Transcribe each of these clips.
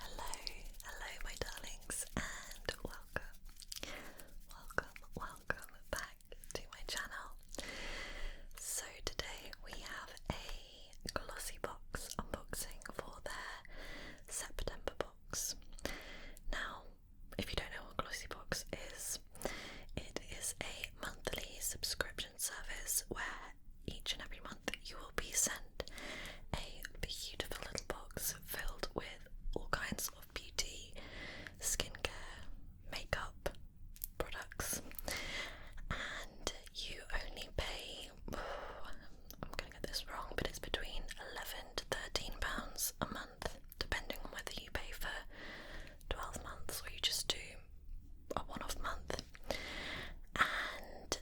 Hello, hello, my darlings, and welcome, welcome, welcome back to my channel. So, today we have a glossy box unboxing for their September box. Now, if you don't know what Glossy Box is, it is a monthly subscription service where each and every month you will be sent a beautiful little box filled with all kinds of beauty, skincare, makeup products. And you only pay, I'm going to get this wrong, but it's between 11 to 13 pounds a month, depending on whether you pay for 12 months or you just do a one off month. And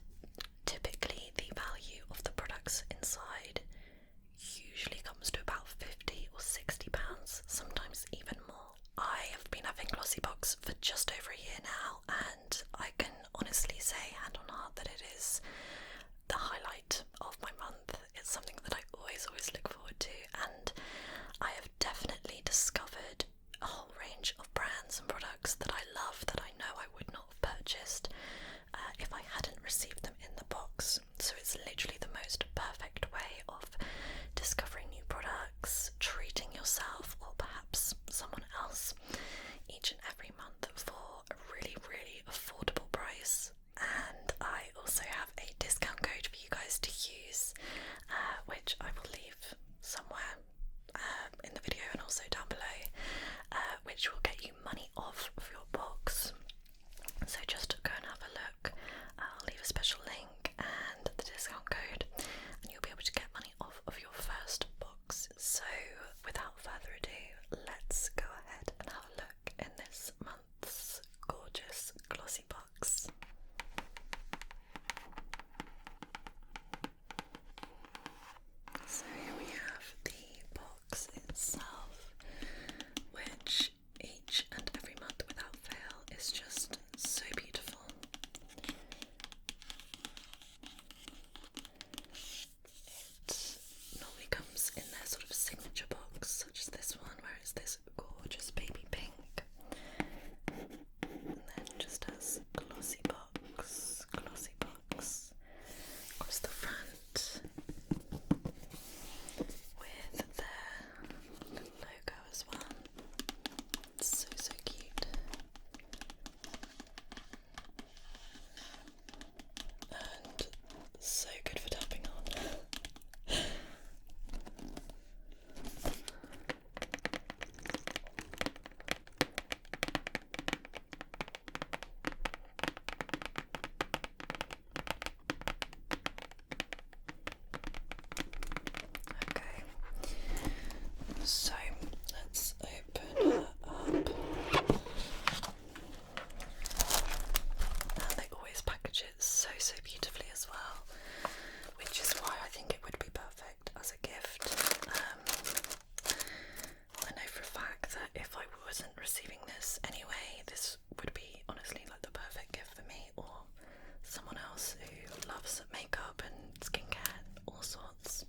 typically the value of the products inside usually comes to about 50 or 60 pounds, sometimes even more. I have been having Glossybox for just over a year now, and I can honestly say, hand on heart, that it is the highlight of my month. It's something that I always, always look forward to, and I have definitely discovered a whole range of brands and products that I love that I know I would not have purchased uh, if I hadn't received them in the box. So it's literally the most perfect way of discovering new products, treating yourself, or perhaps someone else each and every month for a really, really affordable price. And I also have a discount code for you guys to use, uh, which I will leave somewhere uh, in the video and also down below, which will get you money off of your box. So just go and have a look. I'll leave a special link and the discount code, and you'll be able to get money off of your first box. So without further ado, let's go ahead and have a look in this month's gorgeous glossy box. So here we have the box itself, which each and every month without fail is just so beautiful. It normally comes in their sort of signature box, such as this one, where it's this gorgeous baby pink, and then just has glossy pop glossy box across the front with their logo as well. It's so, so cute. And so good for tapping on. Okay, so let's open her up. And they always package it so so beautifully as well, which is why I think it would be perfect as a gift. Um, I know for a fact that if I wasn't receiving this anyway, this would be honestly like the perfect gift for me or someone else who loves makeup and skincare and all sorts.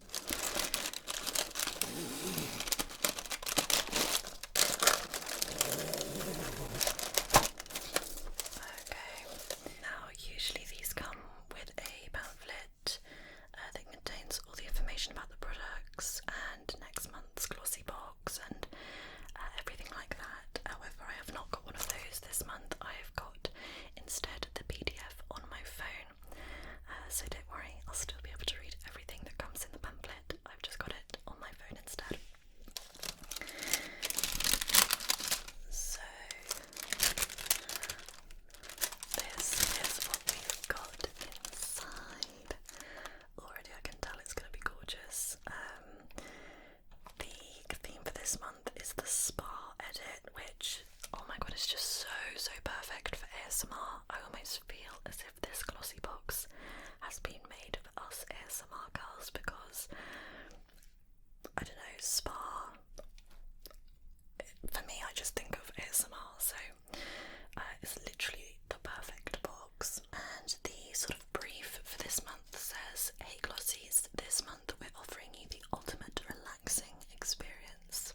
Okay, now usually these come with a pamphlet kit uh, that contains all the information about the products and next month's glossy box and uh, everything like that. However, I have not got one of those this month. I have got instead the PDF on my phone. Uh, so don't worry, I'll still be able to read everything that comes in the pamphlet. I've just got it on my phone instead. So, this is what we got inside. Already, I can tell it's going to be gorgeous. Um, the theme for this month is the spa edit, which oh my god, it's just so so perfect for ASMR. I almost feel as if this glossy box has been made for us ASMR girls because I don't know spa. For me, I just think of ASMR, so uh, it's literally the perfect box. And the sort of brief for this month says Hey Glossies, this month we're offering you the ultimate relaxing experience.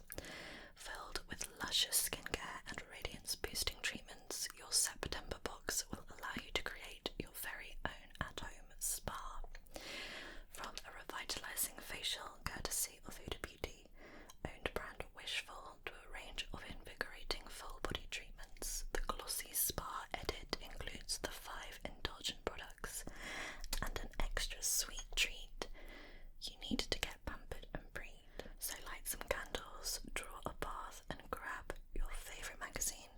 Filled with luscious skincare and radiance boosting treatments, your September box will allow you to create your very own at home spa. From a revitalizing facial courtesy of Huda Beauty owned brand Wishful, to a range of invigorating full body treatments. The glossy spa edit includes the five indulgent products and an extra sweet treat. You need to get pampered and preened, So, light some candles, draw a bath, and grab your favourite magazine.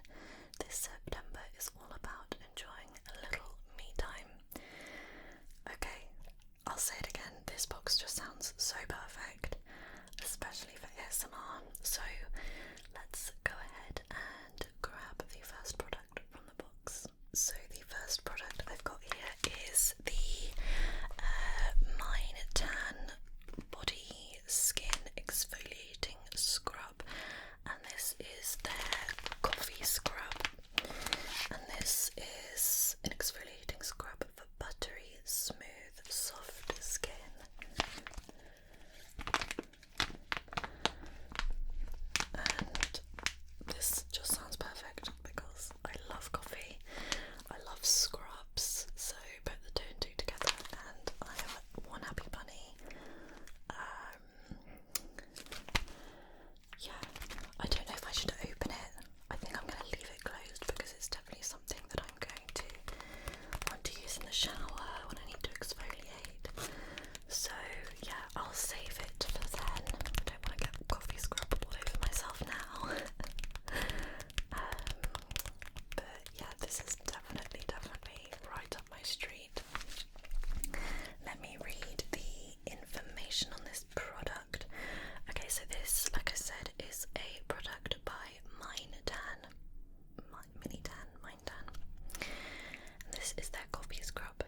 This September is all about enjoying a little me time. Okay, I'll say it again, this box just sounds so perfect, especially for ASMR. So let's go ahead and grab the first product from the box. So the first product I've got here is the uh, Mine Tan Body Skin Exfoliating Scrub, and this is their coffee scrub. And this is an exfoliating scrub for buttery, smooth, soft skin. And this just sounds perfect because I love coffee, I love scrubs, so put the two and two together. And I have one happy bunny. Um, yeah, I don't know if I should open it. I think I'm going to leave it closed because it's definitely something that I'm going to want to use in the shower when I need to exfoliate. So, yeah, I'll save it for then. I don't want to get coffee scrub all over myself now. Um, but yeah, this is definitely, definitely right up my street. Let me read the information on this product. Okay, so this, like I said, is a product by Mine Dan, My, mini Tan, Mine Dan. this is their coffee scrub.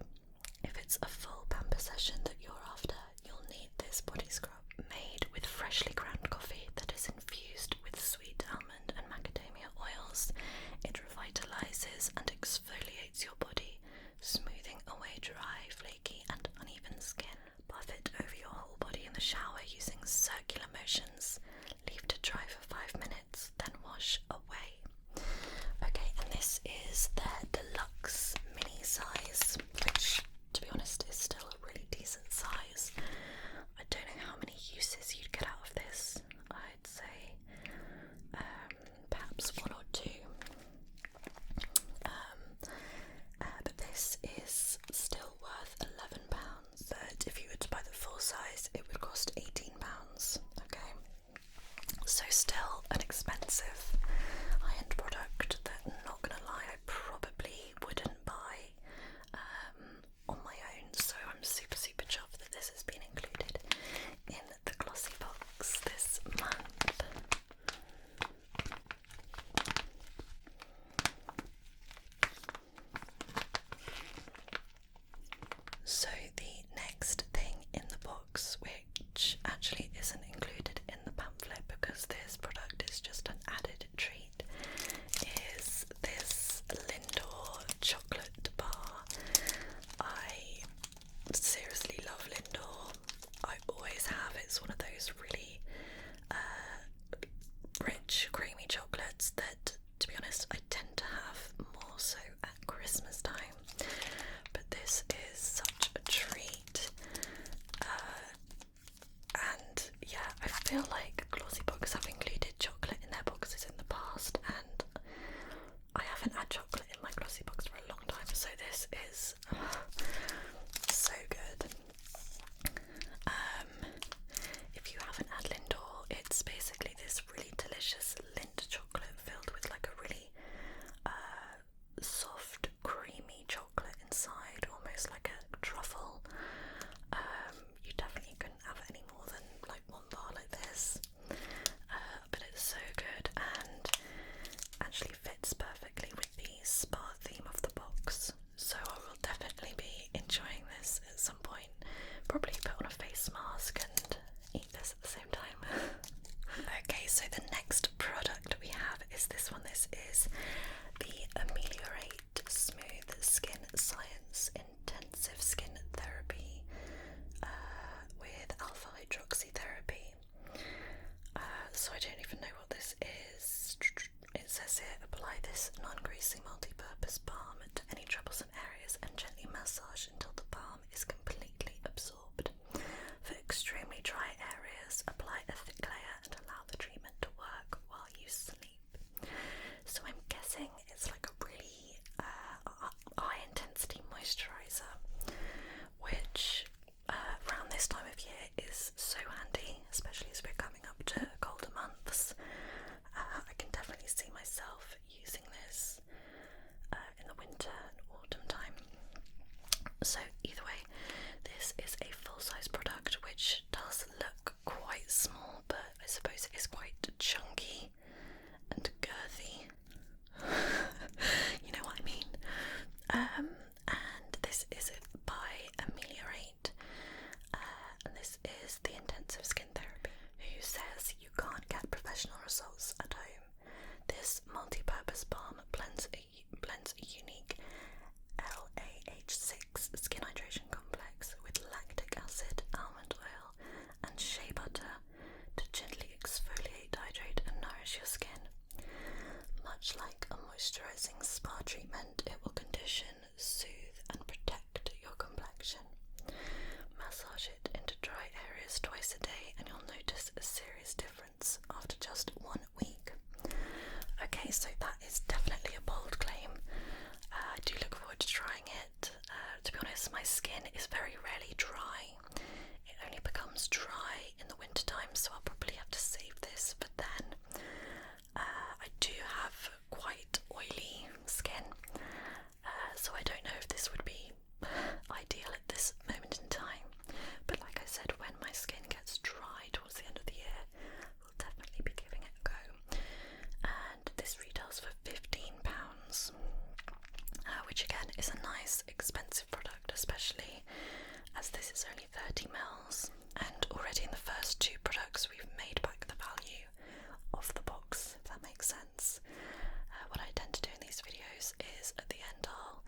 If it's a full pamper session that you're after, you'll need this body scrub made with freshly ground coffee that is infused with sweet almond and macadamia oils. It revitalizes and exfoliates your body, smoothing away dry, flaky, and uneven skin. Buff it over your whole body in the shower using circular motions. Leave to dry for five minutes, then wash away. Okay, and this is their deluxe mini size, which, to be honest, is still a really decent size. I don't know how many uses you'd get out of this. I'd say um, perhaps one or two. Um, uh, but this is still worth eleven pounds. But if you were to buy the full size, it would cost eighteen pounds. Okay, so still an expensive high-end product that, not gonna lie, I probably wouldn't buy um, on my own. So I'm super super chuffed that this has been included in the glossy box this month. So, the next thing in the box, which actually isn't included in the pamphlet because this product is just an added treat, is this Lindor chocolate bar. I seriously love Lindor. I always have. It's one of those really uh, rich, creamy chocolates that, to be honest, I tend to have more so at Christmas time. But this is such a treat. Uh, and yeah, I feel like glossy Boxes have included chocolate in their boxes in the past, and I haven't had chocolate in my glossy box for a long time, so this is so good. Um, if you haven't had Lindor, it's basically this really delicious Lindt chocolate filled with like a really uh, soft, creamy chocolate inside, almost like a truffle. Um, you definitely couldn't have any more than like one bar like this, uh, but it's so good and actually fits perfectly with the spa theme of the box. So I will definitely be enjoying this at some point. Probably put on a face mask and eat this at the same time. okay, so the next product we have is this one. This is the Ameliorate Smooth Skin Science Intensive Skin Therapy uh, with alpha hydroxy therapy. Uh, so I don't even know what this is. It says here apply this non greasy multi purpose balm to any troublesome areas and gently massage until the balm is completely absorbed. For extremely dry areas, apply a thick layer and allow the treatment to work while you sleep. So I'm guessing it's like a really uh, high intensity moisturizer, which uh, around this time of year is so handy, especially as we're coming up to colder months. Uh, I can definitely see myself using this uh, in the winter and autumn time. So, either way, this is a full size product which does look quite small, but I suppose it is quite chunky and girthy. you know what I mean? Um, and this is by Ameliorate, uh, and this is the intensive skin therapy. Who says you can't get professional results at home? This multi-purpose balm blends a, blends a unique LAH6 skin hydration complex with lactic acid, almond oil, and shea butter to gently exfoliate, hydrate, and nourish your skin. Much like a moisturizing spa treatment, it will condition, soothe, and protect your complexion. Massage it into dry areas twice a day, and you'll notice a serious difference after just one week. Okay, so that is definitely a bold claim. Uh, I do look forward to trying it. Uh, to be honest, my skin is very rarely dry, it only becomes dry in the winter time, so I'll probably have to save this But then. Uh, I do have quite oily skin, uh, so I don't know if this would be ideal at this moment in time. But like I said, when my skin gets dry towards the end of the year, we'll definitely be giving it a go. And this retails for £15, uh, which again is a nice, expensive product, especially as this is only 30 mils, and already in the first two products we've made back the value of the box, if that makes sense. Uh, what I tend to do in these videos is at the end I'll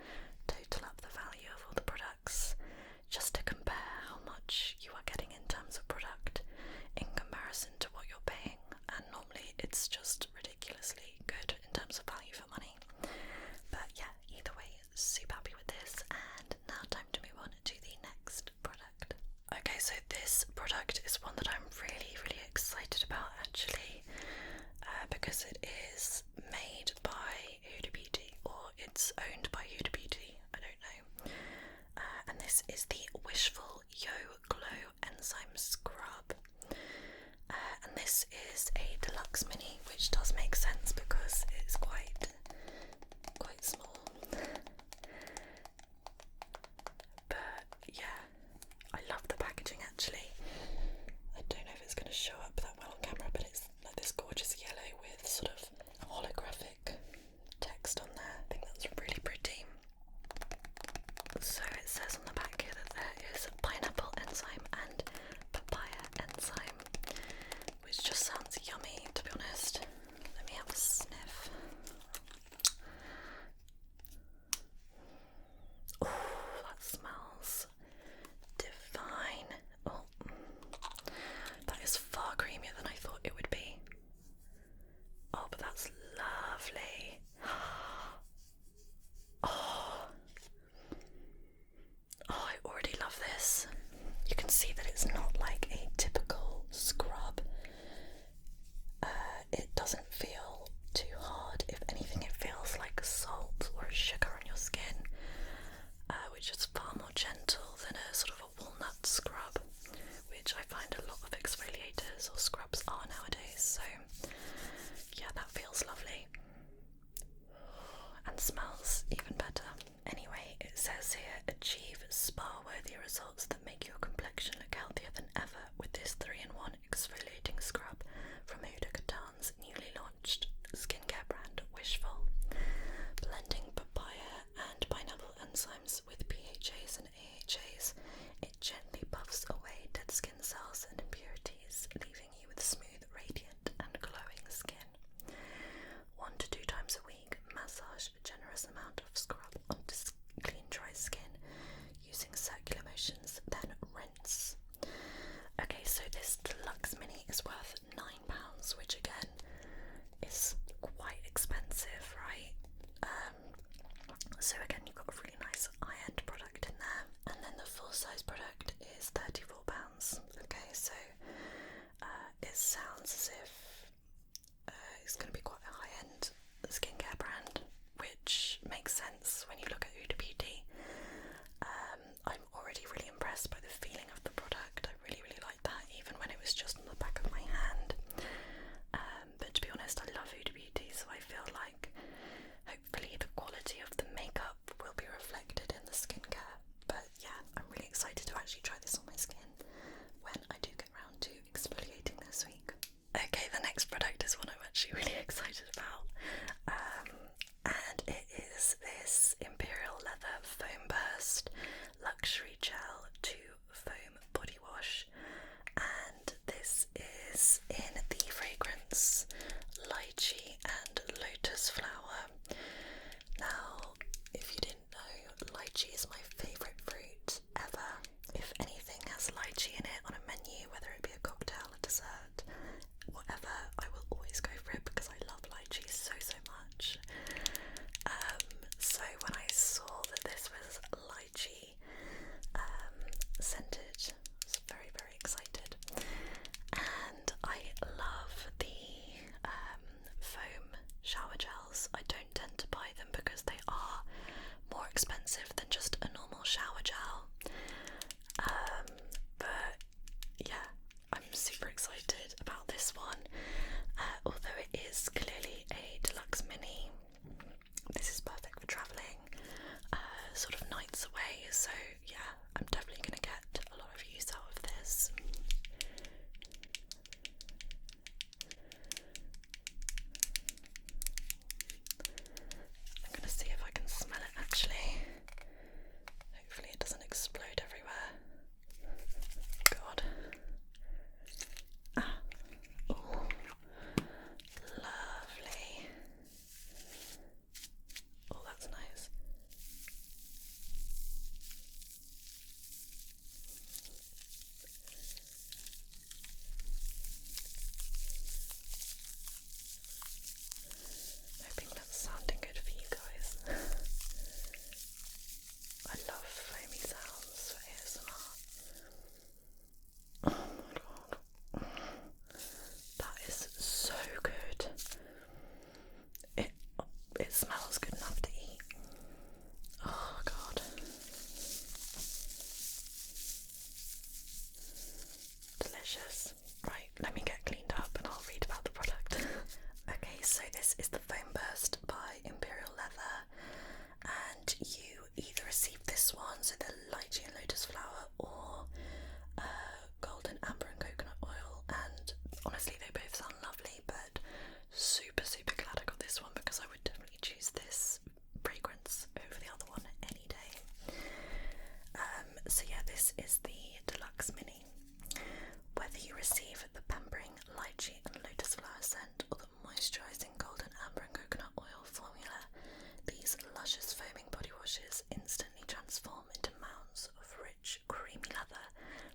total up the value of all the products just to compare how much you are getting in terms of product in comparison to what you're paying, and normally it's just ridiculously good in terms of value for money. But yeah, either way, super happy with this and now time to move on to the next product. Okay, so this product is one that I'm really, really excited about actually uh, because it is made by Huda or it's owned by Huda I don't know. Uh, and this is the Wishful Yo Glow Enzyme Scrub. Uh, and this is a deluxe mini, which does make sense because it's quite quite small. but yeah, I love the packaging actually. I don't know if it's going to show up that well on camera, but it's like this gorgeous yellow with sort of holographic text on there. I think that's really pretty. So it says on the back here that there is pineapple enzyme and papaya enzyme which just sounds yummy to be honest. Let me have a sniff. Oh, that smells divine. Oh, that is far creamier than I thought it would be. Oh, but that's lovely. Oh, Oh, I already love this. You can see that it's not like a typical scrub. Uh, it doesn't feel too hard. If anything, it feels like salt or sugar on your skin, uh, which is far more gentle than a sort of a walnut scrub, which I find a lot of exfoliators or scrubs are nowadays. So, yeah, that feels lovely and smells even better. Anyway, it says here achieve spa worthy results that make your complexion look healthier than ever with this 3 in 1 exfoliating scrub from Huda Khatan's newly launched skincare brand Wishful. Blending papaya and pineapple enzymes with PHAs and AHAs, it gently buffs away dead skin cells and impurities, leaving with smooth, radiant, and glowing skin. One to two times a week, massage a generous amount of scrub onto clean, dry skin using circular motions, then rinse. Okay, so this deluxe mini is worth £9, which again is quite expensive, right? Um, so again, you've got a really nice high-end product in there, and then the full-size product is £34. Okay, so uh, it sounds as if uh, it's going to be quite a high end skincare brand, which makes sense when you look at Huda Beauty. Um, I'm already really impressed by the feeling of the product. I really, really like that, even when it was just on the back of my hand. Um, but to be honest, I love Huda Beauty, so I feel like hopefully the quality of the makeup will be reflected in the skincare. But yeah, I'm really excited to actually try this on my skin when I do get around to exfoliating this week. Okay, the next product is one I'm actually really excited about. Um, and it is this Imperial Leather Foam Burst Luxury Gel to Foam Body Wash. And this is in the fragrance Lychee and Lotus Flower summer. Now, if you didn't know, lychee is my favourite fruit ever. If anything has lychee in it on a menu, whether it be a cocktail, a dessert, whatever, I will always go for it because I love lychee so, so much. Um, so when I saw that this was lychee um, scented, it was very, excited. And I love the um, foam shower gels. I don't tend to buy them because they are more expensive than just a normal shower gel. Um, but yeah, I'm super excited about this one. Uh, although it is clearly a deluxe mini, this is perfect for travelling, uh, sort of nights away. So yeah, I'm definitely going to get a lot of use out of this. I'm going to see if I can smell it actually. Hopefully, it doesn't explode everywhere. God. Ah. lovely. Oh, that's nice. I'm that's sounding good for you guys. I love foamy sounds for ASMR. Oh my god. That is so good it it smells good enough to eat. Oh god. Delicious. Right, let me get cleaned up and I'll read about the product. okay, so this is the Foam Burst by Imperial Leather, and you either receive this one, so the lychee and lotus flower, or uh, golden amber and coconut oil. And honestly, they both sound lovely, but super, super glad I got this one because I would definitely choose this fragrance over the other one any day. Um, so, yeah, this is the Deluxe Mini. Whether you receive the pampering lychee and lotus flower scent or the moisturising golden amber and coconut oil formula, these luscious foaming body washes instantly transform into mounds of rich creamy leather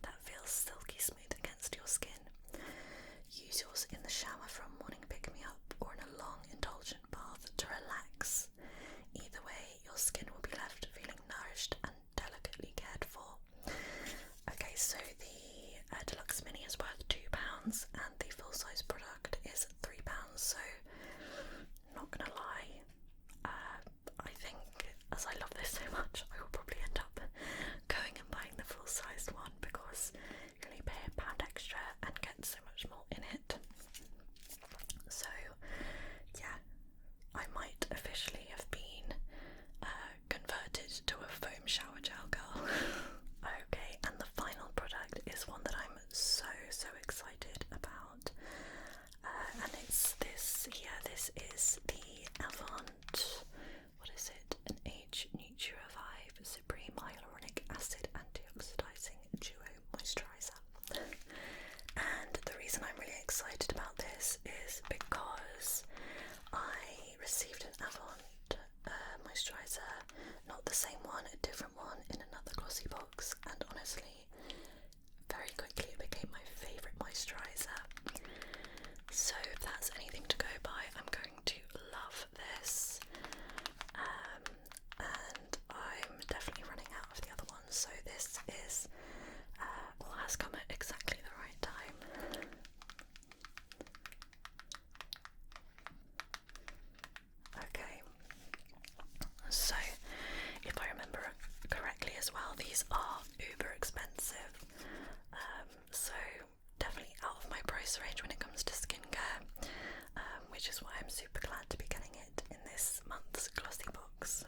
that feels silky smooth against your skin. Use yours in the shower for a morning pick me up or in a long, indulgent bath to relax. Either way, your skin will be left feeling nourished and delicately cared for. Okay, so the uh, deluxe mini is worth £2 and the full size product is £3, so not gonna lie, uh, I think as I love this so much, I will probably end up going and buying the full sized one because you only pay a pound extra and get so much more in it. So, yeah, I might officially have been uh, converted to a foam shower gel girl. okay, and the final product is one that I'm so so excited about. Uh, and it's this yeah this is the Avant what is it an H Natura Vibe Supreme Hyaluronic Acid Antioxidizing Duo Moisturizer and the reason I'm really excited about this is because I received an Avant uh, moisturizer not the same one a different one in another glossy box and honestly very quickly it became my favourite moisturiser. So, if that's anything to go by, I'm going to love this. Um, and I'm definitely running out of the other ones, so this is, uh, well, has come at exactly the right time. Okay, so, if I remember correctly as well, these are uber expensive. Um, so, definitely out of my price range when it comes to skincare, um, which is why I'm super glad to be getting it in this month's glossy box.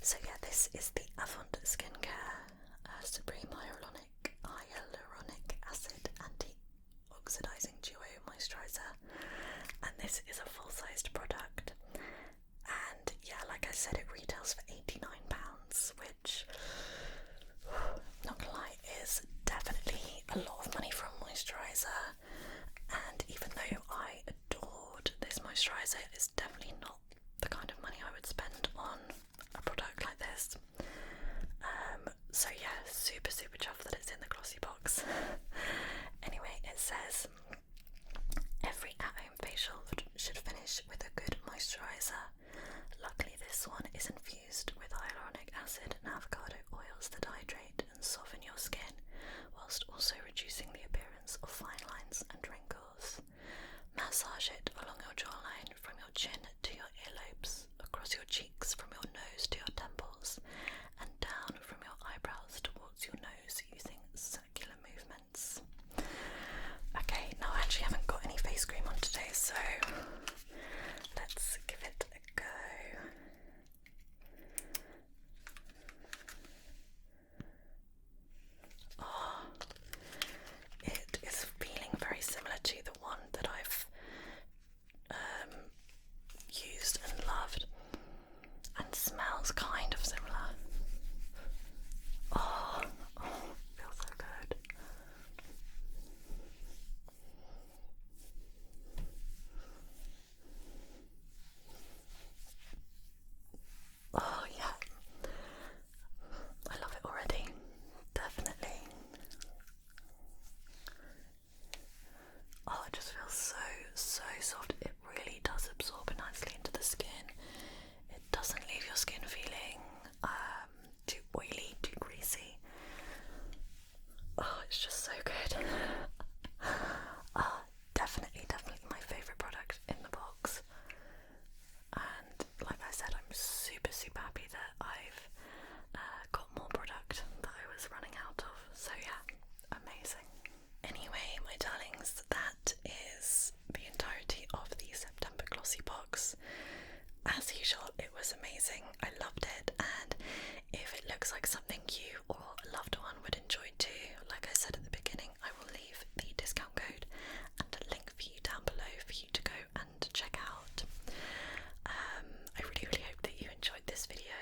So, yeah, this is the Avant Skincare uh, Supreme Hyaluronic Acid Anti Oxidizing Duo Moisturizer, and this is a full sized product. And yeah, like I said, it retails for £89, which, not gonna lie, is definitely a lot of money for a moisturiser. And even though I adored this moisturiser, it's definitely not the kind of money I would spend on a product like this. Um, so yeah, super super chuffed that it's in the glossy box. anyway, it says Every at home facial should finish with a good moisturiser. Luckily, this one is infused with hyaluronic acid and avocado oils that hydrate and soften your skin, whilst also reducing the appearance of fine lines and wrinkles. Massage it along your jawline from your chin to your earlobes, across your cheeks from your nose to your temples, and down from your eyebrows towards your nose nose using circular movements. Okay, now I actually haven't got any face cream on today, so let's give it a go. Oh, it is feeling very similar to the one that I've um, used and loved and smells kind of similar. Oh, oh, feels so good. Oh, yeah. I love it already. Definitely. Oh, it just feels so, so soft. It really does absorb nicely into the skin. It doesn't leave your skin feeling um, too oily, too greasy. Oh, it's just so good. oh, definitely, definitely my favourite product in the box. And like I said, I'm super, super happy that I've uh, got more product that I was running out of. So, yeah, amazing. Anyway, my darlings, that is the entirety of the September glossy box. As usual, it was amazing. I loved it, and if it looks like something you or a loved one would enjoy too, like I said at the beginning, I will leave the discount code and a link for you down below for you to go and check out. Um, I really, really hope that you enjoyed this video.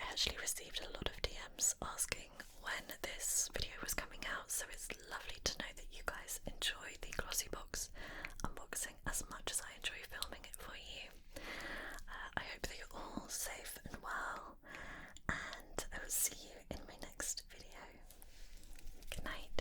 I actually received a lot of DMs asking when this video was coming out, so it's lovely to know that you guys enjoy the Glossy Box unboxing as much as I enjoy filming it for you. Uh, I hope that you're all safe and well, and I will see you in my next video. Good night.